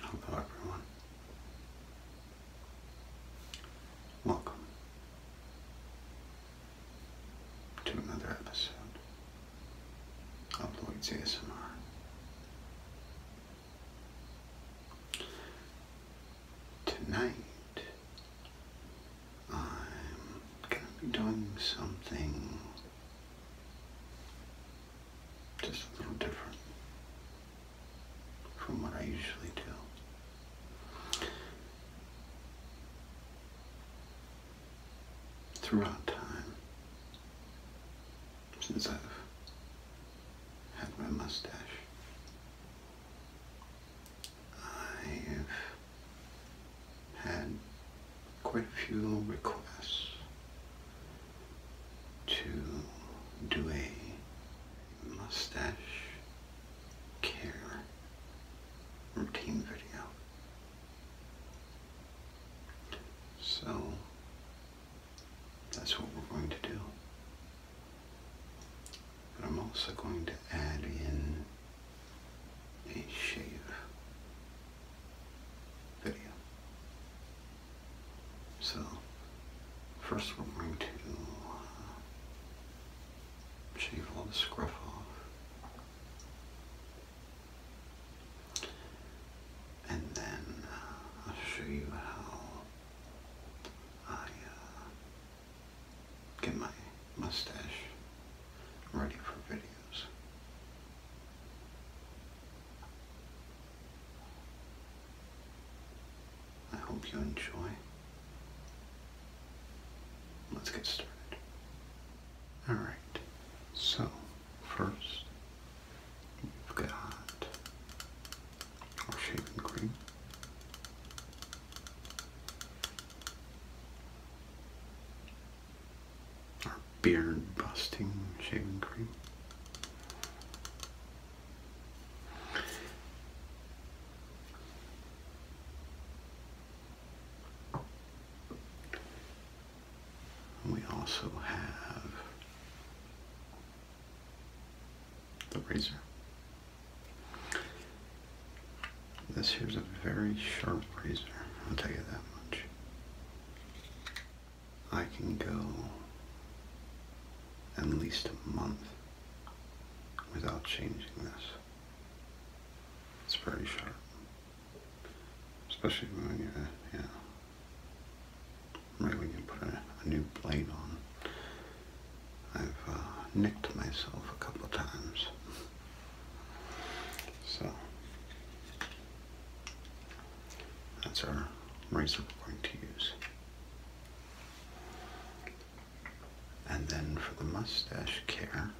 Hello everyone. Welcome to another episode of Lloyd's ASMR. Tonight I'm gonna be doing something just a little different from what I usually do. Throughout time, since I've had my mustache, I've had quite a few requests to do a mustache care routine video. So that's what we're going to do. But I'm also going to add in a shave video. So, first we're going to uh, shave all the scruff off. And then uh, I'll show you how I uh, get my mustache ready for videos. I hope you enjoy. Let's get started. Alright, so first we've got shaving cream. Our beard busting shaving cream. We also have the razor. This here's a very sharp razor, I'll tell you that much. I can go at least a month without changing this. It's very sharp. Especially when you, yeah, right when you put a, new blade on. I've uh, nicked myself a couple times. So, that's our razor we're going to use. And then for the mustache care,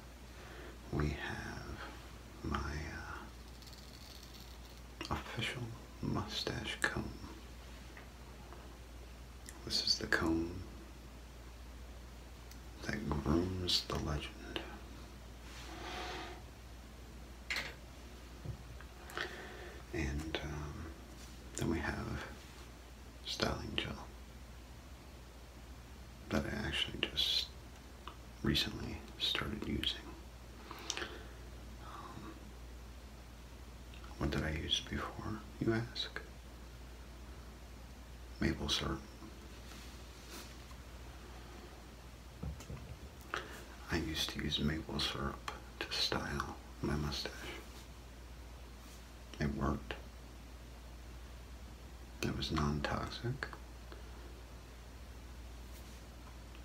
we have my uh, official mustache comb. This is the comb that grooms the legend. And um, then we have styling gel that I actually just recently started using. Um, what did I use before, you ask? Maple syrup. I used to use maple syrup to style my mustache. It worked. It was non-toxic.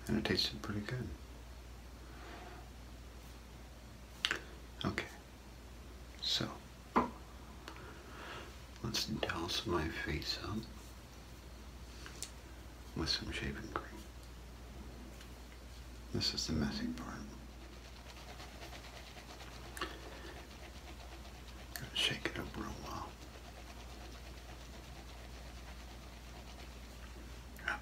And it tasted pretty good. Okay, so let's douse my face up with some shaving cream. This is the messy part. Gonna shake it up real well. Okay.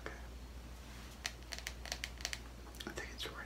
I think it's ready.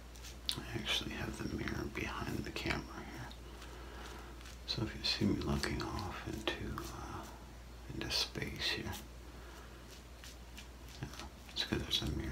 I actually have the mirror behind the camera here. So if you see me looking off into uh, into space here, it's because there's a mirror.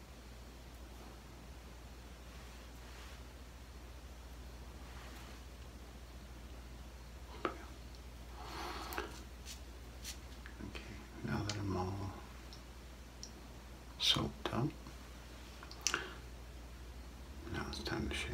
Okay, now that I'm all soaped up, now it's time to shave.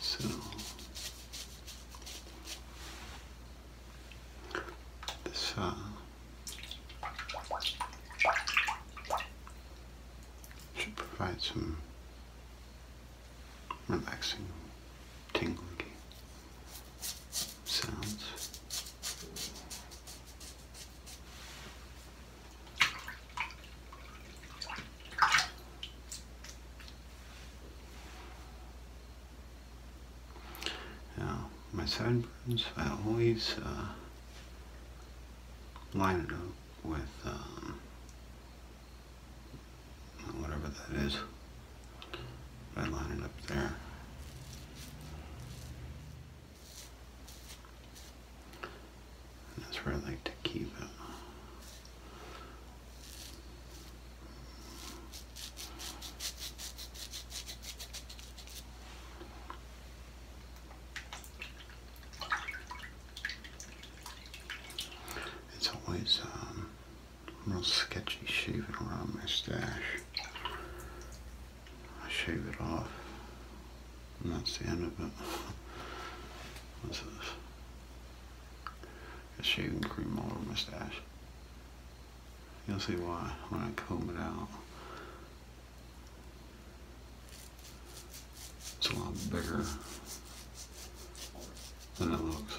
So this uh, should provide some relaxing tingling sounds. Now, my sideburns, I always uh, line it up with um, whatever that is. I line it up there. that's where I like to keep it. It's always um, a little sketchy shaving around my stash. I shave it off, and that's the end of it. What's this? Got shaving cream all over my mustache. You'll see why when I comb it out. It's a lot bigger than it looks.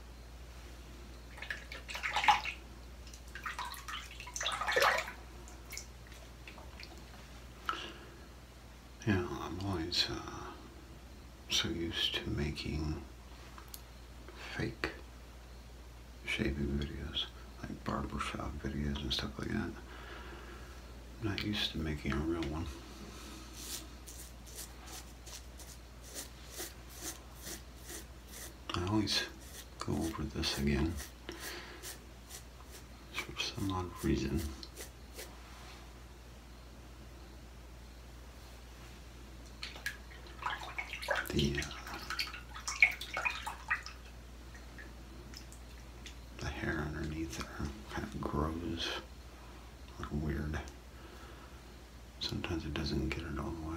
Yeah, I'm always uh, so used to making fake shaving videos, like barbershop videos and stuff like that. I'm not used to making a real one. I always go over this again for some odd reason. The, uh, the hair underneath there kind of grows weird sometimes it doesn't get it all the way.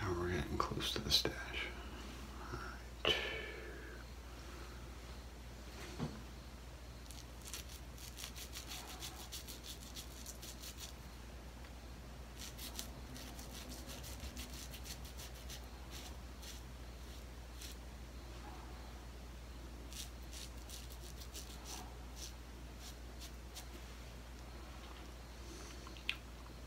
Now we're getting close to the stash.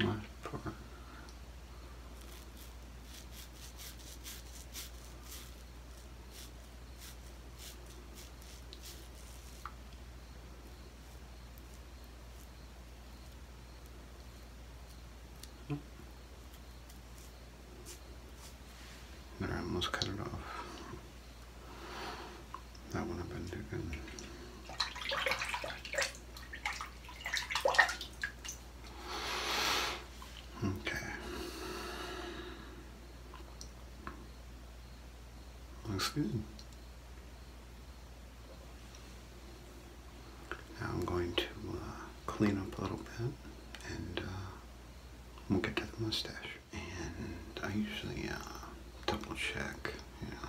I'm There, I almost cut it off that one up and again. Okay. Looks good. Now I'm going to uh, clean up a little bit and uh, we'll get to the mustache. And I usually uh, double check, you know,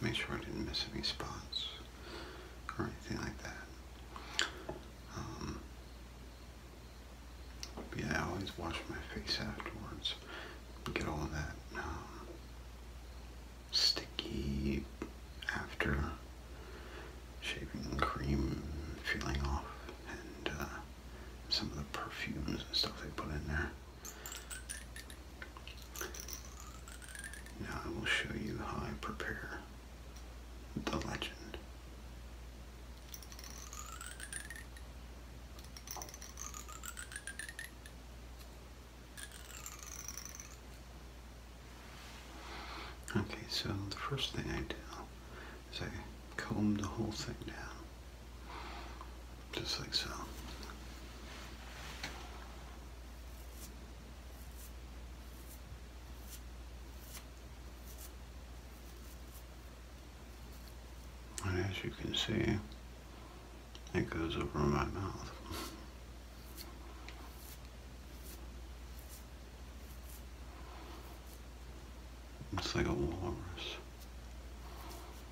Make sure I didn't miss any spots or anything like that. but um, yeah, I always wash my face afterwards. Get all that um, sticky after shaving cream feeling off and uh, some of the perfumes and stuff they put in there. Now I will show you how I prepare the legend. Okay, so the first thing I do is I comb the whole thing down. Just like so. And as you can see, it goes over my mouth. It's like a walrus.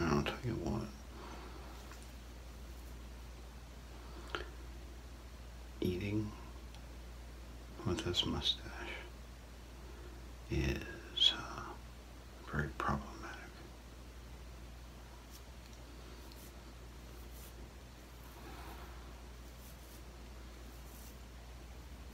I'll tell you what. Eating with this mustache is uh, very problematic.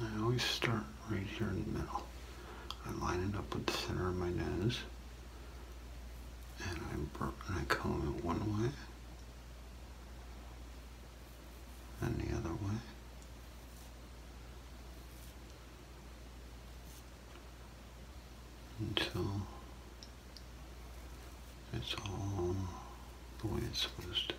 I always start right here in the middle. I line it up with the center of my nose and I, and I comb it one way and the other way. Until it's all the way it's supposed to be.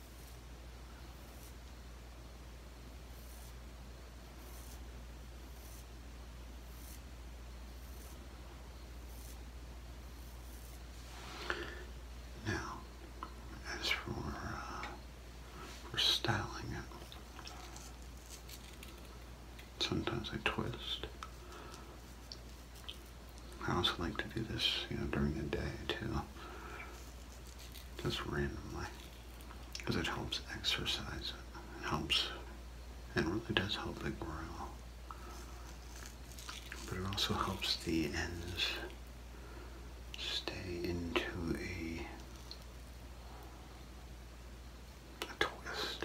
Now, as uh, for, styling it, sometimes I twist. I also like to do this, you know, during the day too, just randomly, because it helps exercise it. helps, and really does help it grow. But it also helps the ends stay into a a twist.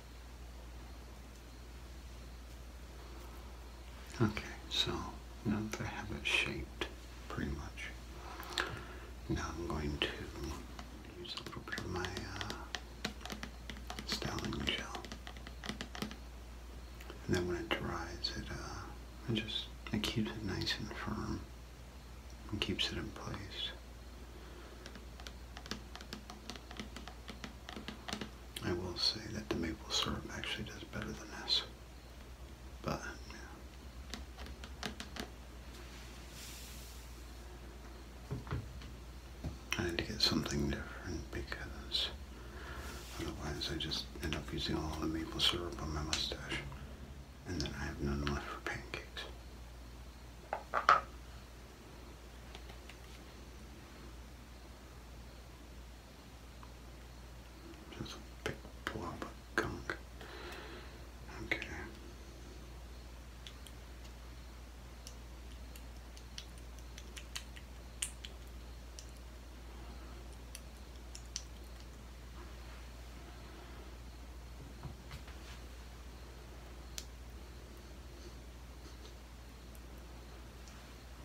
Okay, so now that I have it shaped pretty much, now I'm going to use a little bit of my uh, styling gel. And then when it dries, it, uh, it just it keeps it nice and firm and keeps it in place. I will say that the maple syrup actually does better than this. But, I need to get something different because otherwise I just end up using all the maple syrup on my mustache. And then I have none left for pancakes. Just a big blob of gunk. Okay.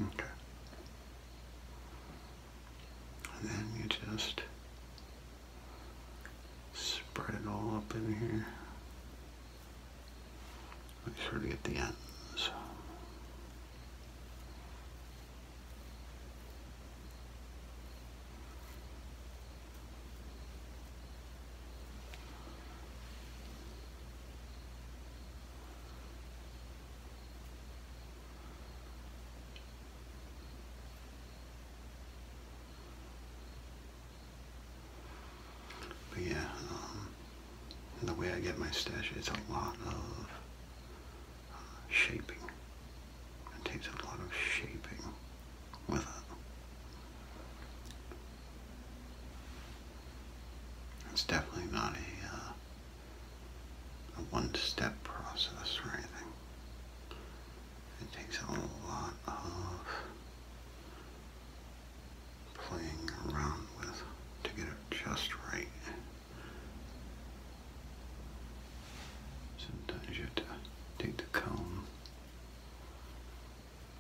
Okay. And then you just spread it all up in here. Make sure to get the ends. But yeah, um, the way I get my stash, it's a lot of uh, shaping. It takes a lot of shaping. It's definitely not a, uh, a one-step process or anything. It takes a lot of playing around with to get it just right. Sometimes you take the comb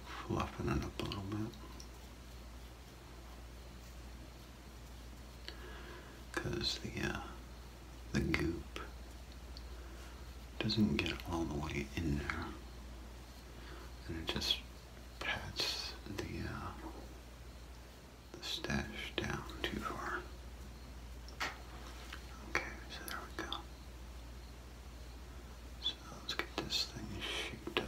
fluffing it up a little bit. Because the, uh, the goop doesn't get all the way in there. And it just pats the, uh, the stash down too far. Okay, so there we go. So let's get this thing shaped up.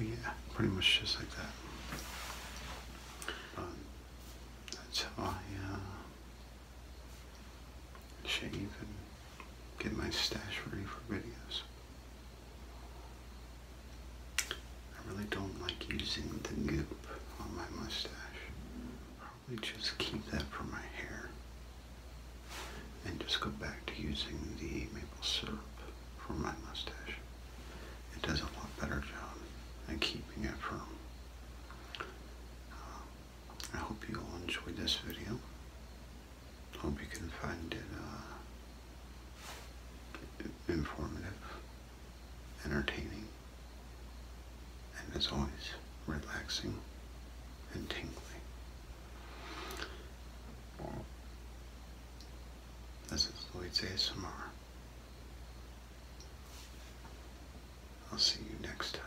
yeah, pretty much just like that. that's how I uh, shave and Get my stash ready for videos. I really don't like using the goop on my mustache. Probably just keep that for my hair. And just go back to using the maple syrup for my mustache. It does a lot better job at keeping it firm. Uh, I hope you all enjoyed this video. Hope you can find it uh, informative, entertaining, and as always, relaxing and tingling. This is Lloyd's ASMR. I'll see you next time.